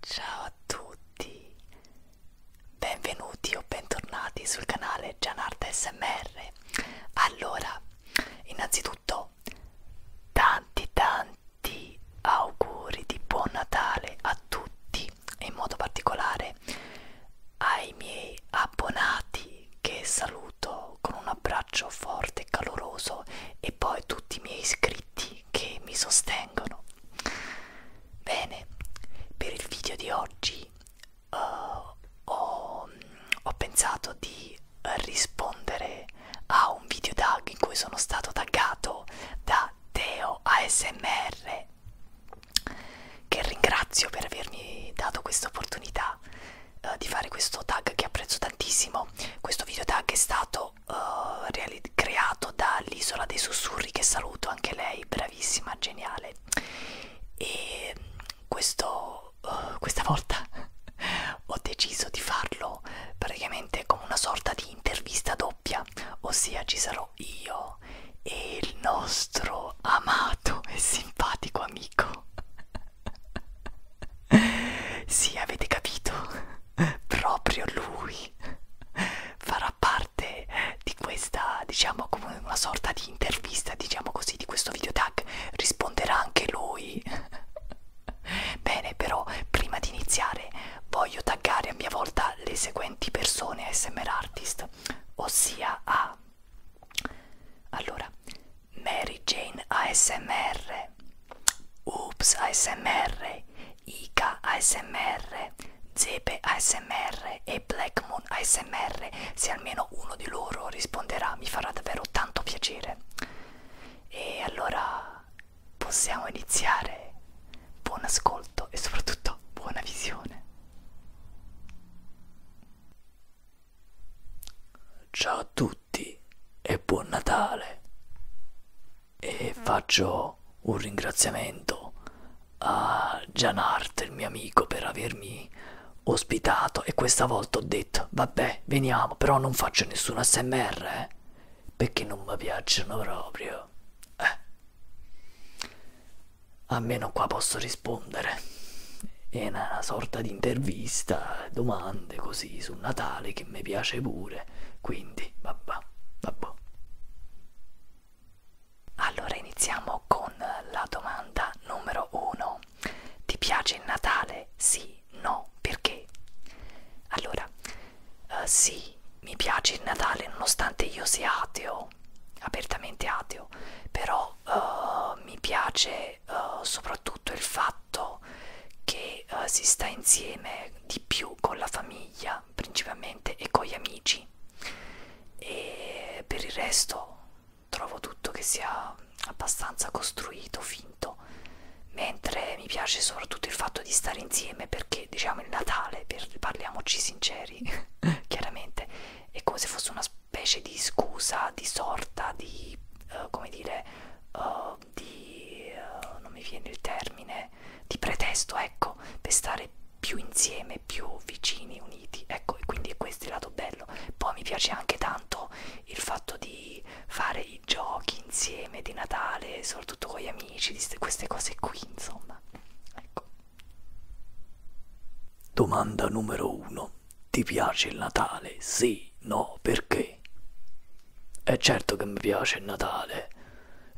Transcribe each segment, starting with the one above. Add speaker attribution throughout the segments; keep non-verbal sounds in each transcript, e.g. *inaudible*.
Speaker 1: Ciao a tutti, benvenuti o bentornati sul canale Gianarda SMR. Allora, innanzitutto tanti tanti auguri di buon Natale a tutti e in modo particolare ai miei abbonati che saluto saluto con un abbraccio forte e caloroso e poi tutti i miei iscritti che mi sostengono. Bene, per il video di oggi uh, ho, ho pensato di rispondere a un video tag in cui sono stato taggato da Teo ASMR che ringrazio per avermi dato questa opportunità uh, di fare questo tag che apprezzo tantissimo. Questo video tag è stato uh, creato dall'isola dei sussurri che saluto, anche lei, bravissima, geniale. E questo, uh, questa volta *laughs* ho deciso di farlo praticamente come una sorta di intervista doppia, ossia ci sarò io e il nostro mio amato e simpatico amico sì avete capito proprio lui farà parte di questa diciamo come una sorta di intervista diciamo così di questo video tag risponderà anche lui bene però prima di iniziare voglio taggare a mia volta le seguenti persone smr artist ossia a allora, Mary Jane ASMR, Oops ASMR, Ica ASMR, Zepe ASMR e Black Moon ASMR. Se almeno uno di loro risponderà, mi farà davvero tanto piacere. E allora possiamo iniziare. Buon ascolto e soprattutto buona visione. Ciao a tutti e buon Natale. E faccio un ringraziamento a Gianart, il mio amico, per avermi ospitato e questa volta ho detto vabbè veniamo però non faccio nessun smr eh, perché non mi piacciono proprio eh almeno qua posso rispondere. È una sorta di intervista, domande così su Natale che mi piace pure, quindi vabbè, vabbè. Allora iniziamo con la domanda numero uno. Ti piace il Natale? Sì, no, perché? Allora, uh, sì, mi piace il Natale nonostante io sia ateo sono apertamente ateo, però uh, mi piace uh, soprattutto il fatto che uh, si sta insieme di più con la famiglia principalmente e con gli amici e per il resto trovo tutto che sia abbastanza costruito, finto, mentre mi piace soprattutto il fatto di stare insieme perché diciamo il Natale, per, parliamoci sinceri, *laughs* chiaramente è come se fosse una specie di scusa, di sorta, di uh, come dire, uh, di uh, non mi viene il termine, di pretesto, ecco, per stare più insieme, più vicini, uniti, ecco, e quindi questo è il lato bello. Poi mi piace anche tanto il fatto di fare i giochi insieme di Natale, soprattutto con gli amici, di queste cose qui, insomma, ecco. Domanda numero 1. Ti piace il Natale? Sì, no, perché? È certo che mi piace il Natale.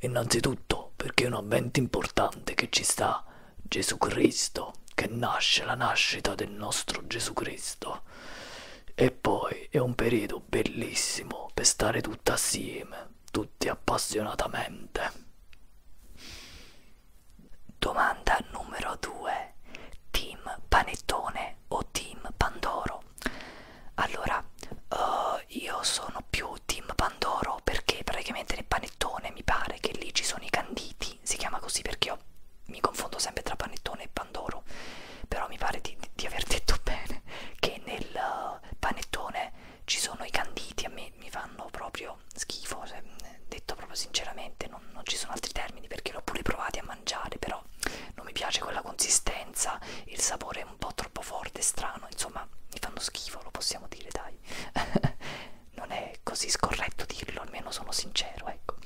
Speaker 1: Innanzitutto perché è un avvento importante che ci sta Gesù Cristo, che nasce la nascita del nostro Gesù Cristo. E poi è un periodo bellissimo per stare tutti assieme, tutti appassionatamente. Domanda numero 2. Team Panettone o Team Pandoro? Allora, uh, io sono più Team Pandoro perché praticamente nel panettone mi pare che lì ci sono i canditi, si chiama così perché io mi confondo sempre tra panettone e pandoro, però mi pare di, di aver detto *laughs* bene che nel eh, panettone ci sono i canditi, a me mi fanno proprio schifo, cioè, detto proprio sinceramente, non, non ci sono altri termini perché l'ho pure provati a mangiare, però non mi piace quella consistenza, il sapore è un po' troppo forte, strano, insomma mi fanno schifo, lo possiamo dire, dai. *laughs* non è così scorretto dirlo, almeno sono sincero, ecco.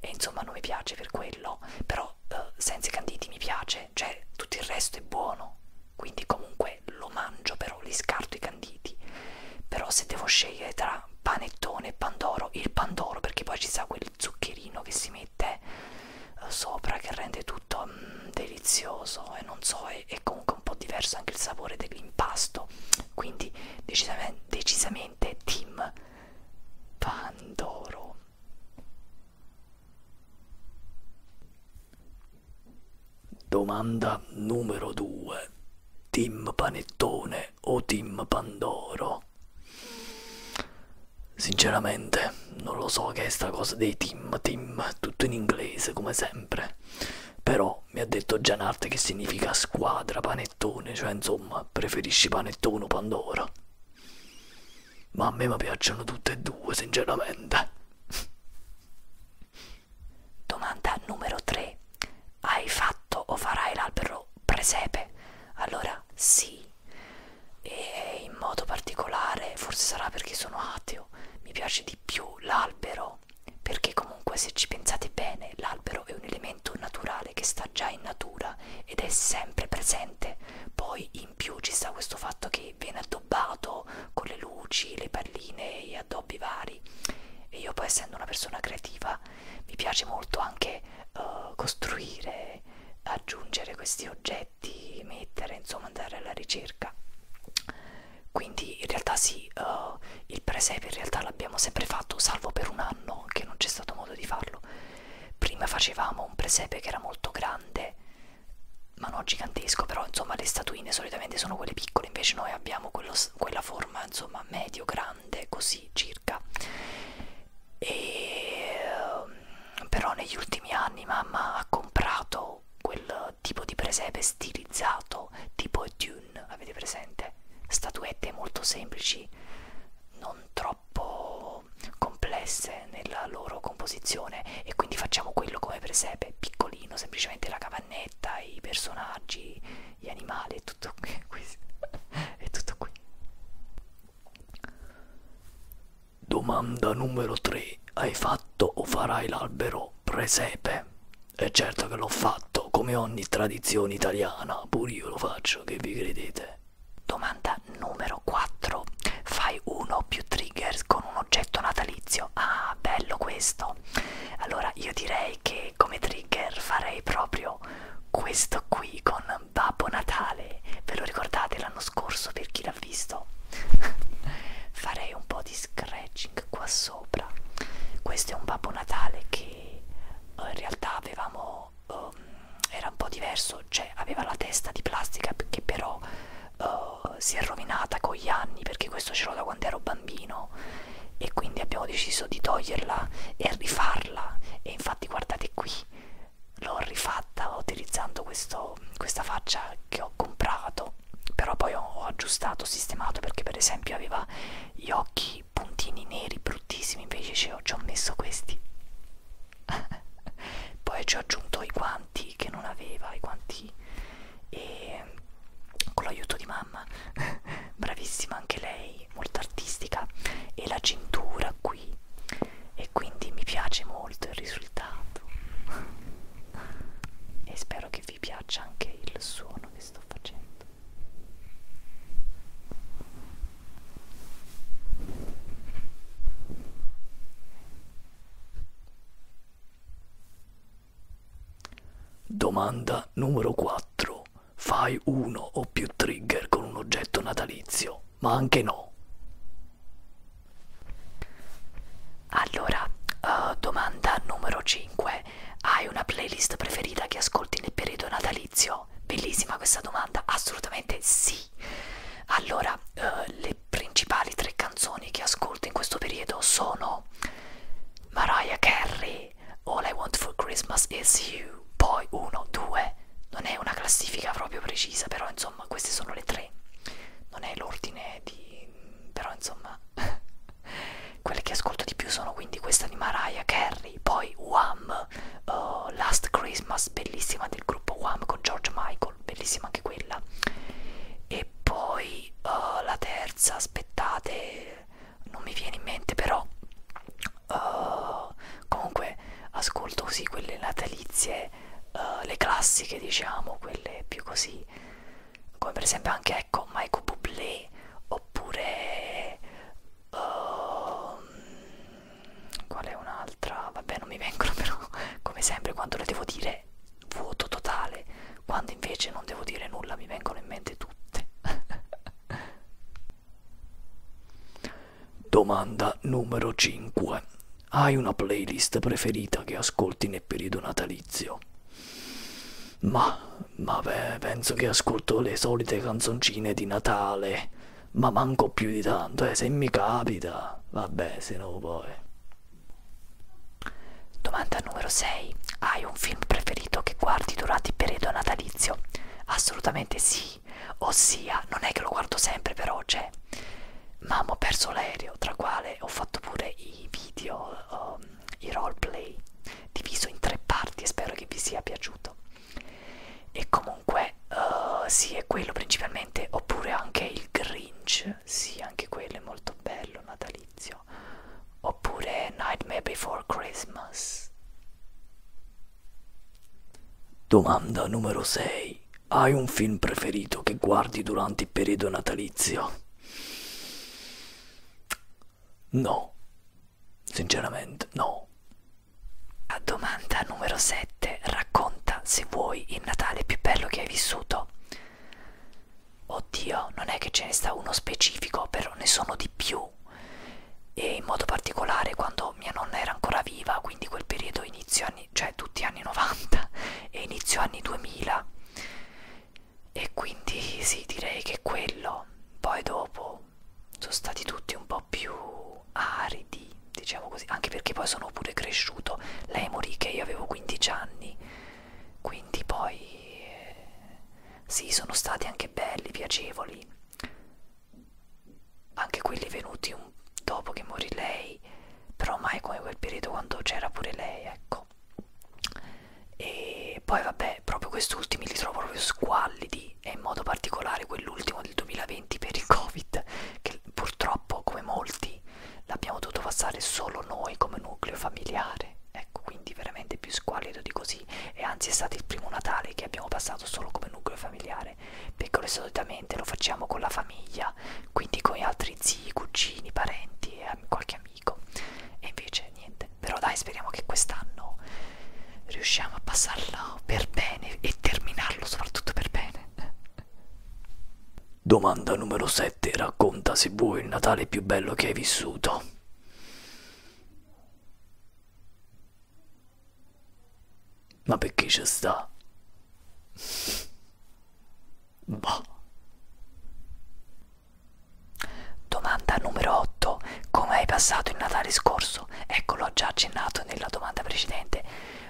Speaker 1: E insomma non mi piace per quello, però eh, senza i canditi mi piace piace, cioè tutto il resto è buono, quindi comunque lo mangio però, li scarto i canditi. Però se devo scegliere tra panettone e pandoro, il pandoro perché poi ci sa quel zuccherino che si mette eh, sopra che rende tutto mm, delizioso e non so, è, è comunque un po' diverso anche il sapore dell'impasto. Quindi decisamente, decisamente team pandoro. Domanda numero 2. Team Panettone o Team Pandoro? Sinceramente non lo so che è sta cosa dei team, team, tutto in inglese come sempre. Però mi ha detto Gianarte che significa squadra panettone, cioè insomma preferisci panettone o Pandoro ma a me mi piacciono tutte e due sinceramente domanda numero 3 hai fatto o farai l'albero presepe allora sì e in modo particolare forse sarà perché sono ateo mi piace di più l'albero perché comunque se ci pensate bene l'albero è un elemento naturale che sta già in natura ed è sempre presente poi in più ci sta questo fatto che viene addobbato con le luci, le palline, gli addobbi vari e io poi essendo una persona creativa mi piace molto anche uh, costruire, aggiungere questi oggetti, mettere, insomma andare alla ricerca quindi in realtà sì, uh, il presepe in realtà l'abbiamo sempre fatto salvo per un anno che non c'è stato modo di farlo prima facevamo un presepe che era molto grande ma non gigantesco, però insomma le statuine solitamente sono quelle piccole, invece noi abbiamo quello, quella forma insomma medio-grande, così circa. E, ehm, però negli ultimi anni mamma ha comprato quel tipo di presepe stilizzato, tipo Dune, avete presente? Statuette molto semplici, non troppo molto complesse nella loro composizione e quindi facciamo quello come presepe, piccolino, semplicemente la cavannetta, i personaggi, gli animali e tutto qui. è *laughs* *laughs* tutto qui. Domanda numero 3. Hai fatto o farai l'albero presepe? E certo che l'ho fatto, come ogni tradizione italiana, pure io lo faccio, che vi credete? Domanda numero 4. Fai uno o più triggers con un oggetto natalizio? Ah, bello questo. Allora io direi che come trigger farei proprio questo qui con Babbo Natale. Ve lo ricordate l'anno scorso per chi l'ha visto? *laughs* farei un po' di scratching qua sopra. Questo è un Babbo Natale che eh, in realtà avevamo po', um, ehm, era un po' diverso, cioè aveva la testa di plastica che però uh, si è rovinata con gli anni perché questo ce l'ho da quando ero bambino e quindi abbiamo deciso di toglierla e rifarla e infatti guardate qui l'ho rifatta utilizzando questo, questa faccia che ho comprato però poi ho, ho aggiustato, sistemato perché per esempio aveva gli occhi puntini neri bruttissimi invece ci ho, ci ho messo questi *laughs* poi ci ho aggiunto i guanti che non aveva i guanti e con l'aiuto di mamma *laughs* bravissima anche lei molto artistica e la cintura qui e quindi mi piace molto il risultato *laughs* e spero che vi piaccia anche il suono che sto facendo Domanda numero 4. Fai uno o più trigger con un oggetto natalizio, ma anche no. Allora, uh, domanda numero 5. Hai una playlist preferita che ascolti nel periodo natalizio? Bellissima questa domanda, assolutamente sì. Allora, eh, le principali tre canzoni che ascolto in questo periodo sono Mariah Carey, All I Want for Christmas Is You, poi 1, 2, non è una classifica proprio precisa, però insomma queste sono le tre, non è l'ordine di... però insomma *laughs* quelle che ascolto di più sono quindi questa di Mariah Carey, poi Wham, uh, Last Christmas, bellissima del gruppo Wham con George Michael, bellissima anche quella. E poi uh, la terza, aspettate, non mi viene in mente però. Uh, comunque ascolto così quelle natalizie, uh, le classiche diciamo, quelle più così, come per esempio anche ecco Michael Bublé oppure Uh, qual è un'altra? Vabbè, non mi vengono però, come sempre, quando le devo dire vuoto totale, quando invece non devo dire nulla mi vengono in mente tutte. *laughs* Domanda numero 5. Hai una playlist preferita che ascolti nel periodo natalizio? Ma, ma beh, penso che ascolto le solite canzoncine di Natale ma manco più di tanto, eh, se mi capita, vabbè, se no poi. Domanda numero 6. Hai un film preferito che guardi durante il periodo natalizio? Assolutamente sì, ossia, non è che lo guardo sempre però, c'è Mamma ho perso l'aereo, tra quale ho fatto pure i video, um, i roleplay, diviso in tre parti e spero che vi sia piaciuto e comunque uh, sì è quello principalmente oppure anche il Grinch sì anche quello è molto bello natalizio oppure Nightmare Before Christmas domanda numero 6 hai un film preferito che guardi durante il periodo natalizio No. Sinceramente, no. A domanda numero 7. Racconta se vuoi il Natale più bello che hai vissuto. Oddio, non è che ce ne sta uno specifico, però ne sono di più. E in modo particolare quando mia nonna era ancora viva, quindi quel periodo inizio anni, cioè tutti anni 90 *laughs* e inizio anni 2000. E quindi sì, direi che quello. Poi dopo dopo sono stati tutti un po' più aridi, diciamo così, anche perché poi sono pure cresciuto. Lei morì che io avevo 15 anni, quindi poi eh, sì, sono stati anche belli, piacevoli, anche quelli venuti un, dopo che morì lei, però mai come quel periodo quando c'era pure lei, ecco. E poi vabbè, proprio quest'ultimi li trovo proprio squallidi e in modo particolare quell'ultimo del 2020 per il Covid, che purtroppo come molti l'abbiamo dovuto passare solo noi come nucleo familiare. Ecco, quindi veramente più squallido di così. E anzi è stato il primo Natale che abbiamo passato solo come nucleo familiare, perché solitamente lo facciamo con la famiglia, quindi con gli altri zii, cugini, parenti e qualche amico. E invece niente, difficile, però dai speriamo che quest'anno riusciamo a passarlo per bene e terminarlo soprattutto per bene. Domanda numero 7. Racconta se vuoi il Natale più bello che hai vissuto. Ma perché ci sta? Boh. Domanda numero 8. Come hai passato il Natale scorso? Ecco, l'ho già accennato nella domanda precedente.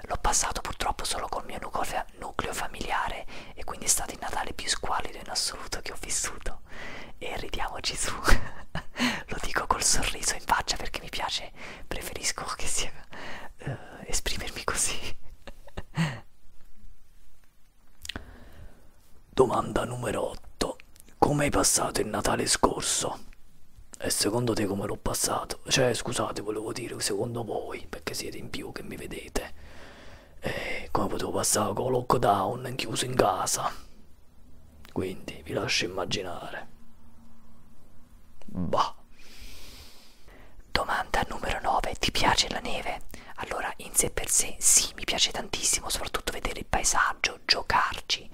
Speaker 1: L'ho passato purtroppo solo col mio nucleo familiare e quindi è stato il Natale più squallido in assoluto che ho vissuto. E ridiamoci su. *laughs* Lo dico col sorriso in faccia perché mi piace, preferisco che sia uh, esprimermi così. *laughs* Domanda numero 8. Come hai passato il Natale scorso? E secondo te come l'ho passato? Cioè, scusate, volevo dire secondo voi, perché siete in più che mi vedete. E come potevo passare con lockdown chiuso in casa? Quindi vi lascio immaginare. Bah. Domanda numero 9. Ti piace la neve? Allora, in sé per sé, sì, mi piace tantissimo, soprattutto vedere il paesaggio, giocarci,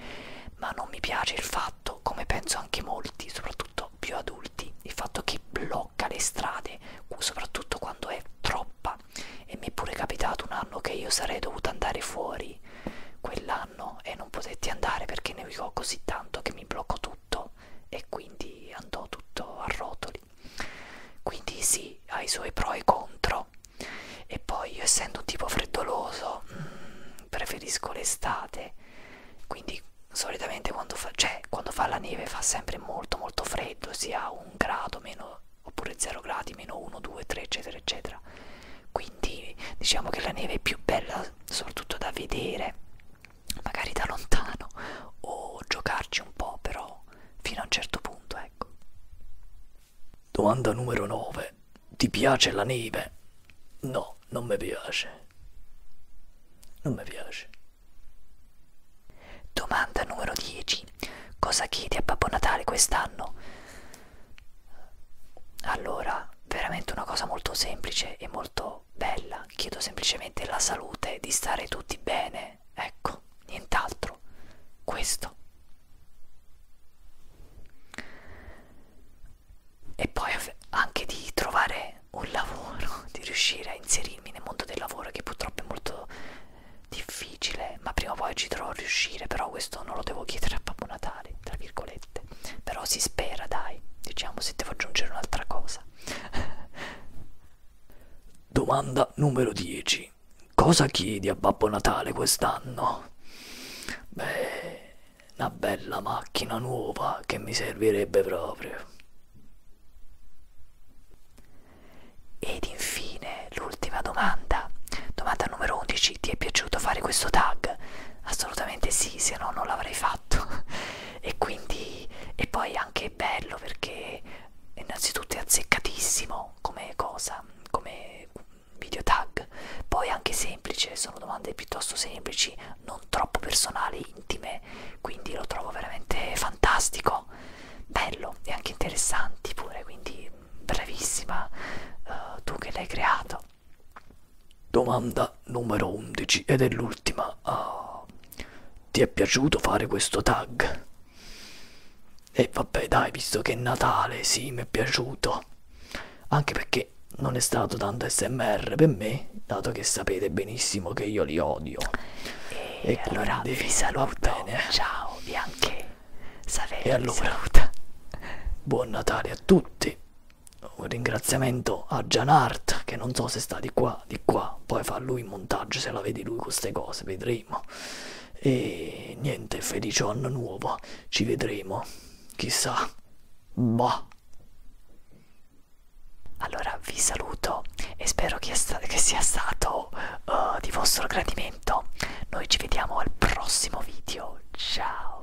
Speaker 1: ma non mi piace il fatto, come penso anche molti, soprattutto più adulti, il fatto che blocca le strade, soprattutto quando è troppa. E mi è pure capitato un anno che io sarei dovuta andare fuori quell'anno e non potetti andare perché ne ho così tanto che mi bloccò tutto e quindi andò tutto a rotoli soli quindi sì ha i suoi pro e contro e poi io essendo un tipo freddoloso mh, mm, preferisco l'estate quindi solitamente quando fa, cioè, quando fa la neve fa sempre molto molto freddo sia un grado meno oppure 0 gradi meno 1 2 3 eccetera eccetera quindi diciamo che la neve è più bella soprattutto da vedere magari da lontano o giocarci un po' però fino a un certo punto eh ecco. Domanda numero 9. Ti piace la neve? No, non mi piace. Non mi piace. Domanda numero 10. Cosa chiedi a Babbo Natale quest'anno? Allora, veramente una cosa molto semplice e molto bella. Chiedo semplicemente la salute, di stare tutti bene eh, ecco, nient'altro. Questo. E poi anche di trovare un lavoro, *laughs* di riuscire a inserirmi nel mondo del lavoro che purtroppo è molto difficile, ma prima o poi ci dovrò riuscire, però questo non lo devo chiedere a Babbo Natale, tra virgolette. Però si spera, dai, diciamo se devo aggiungere un'altra cosa. *laughs* Domanda numero 10. Cosa chiedi a Babbo Natale quest'anno? Beh, una bella macchina nuova che mi servirebbe proprio. Ed infine l'ultima domanda. Domanda numero 11. Ti è piaciuto fare questo tag? Assolutamente sì, se no non l'avrei fatto. *laughs* e quindi... e poi anche che è bello perché innanzitutto è azzeccatissimo come cosa, come video tag, poi anche semplice, sono domande piuttosto semplici, non troppo personali, intime, quindi lo trovo veramente fantastico, bello e anche interessanti pure, quindi bravissima uh, eh, tu che l'hai creato. Domanda numero 11 ed è l'ultima. Uh, ti è piaciuto fare questo tag? E vabbè dai, visto che è Natale, sì, mi è piaciuto. Anche perché non è stato tanto smr per me, dato che sapete benissimo che io li odio. E, e allora quindi, vi saluto. Bene. Ciao Bianche. Saverio e allora, buon Natale a tutti. Un ringraziamento a Gianart, che non so se sta di qua qua, di qua, poi fa lui il montaggio se la vedi lui con queste cose, vedremo. E niente, felice anno nuovo, ci vedremo, chissà, boh. Allora vi saluto e spero che, che sia stato uh, di vostro gradimento. Noi ci vediamo al prossimo video, ciao!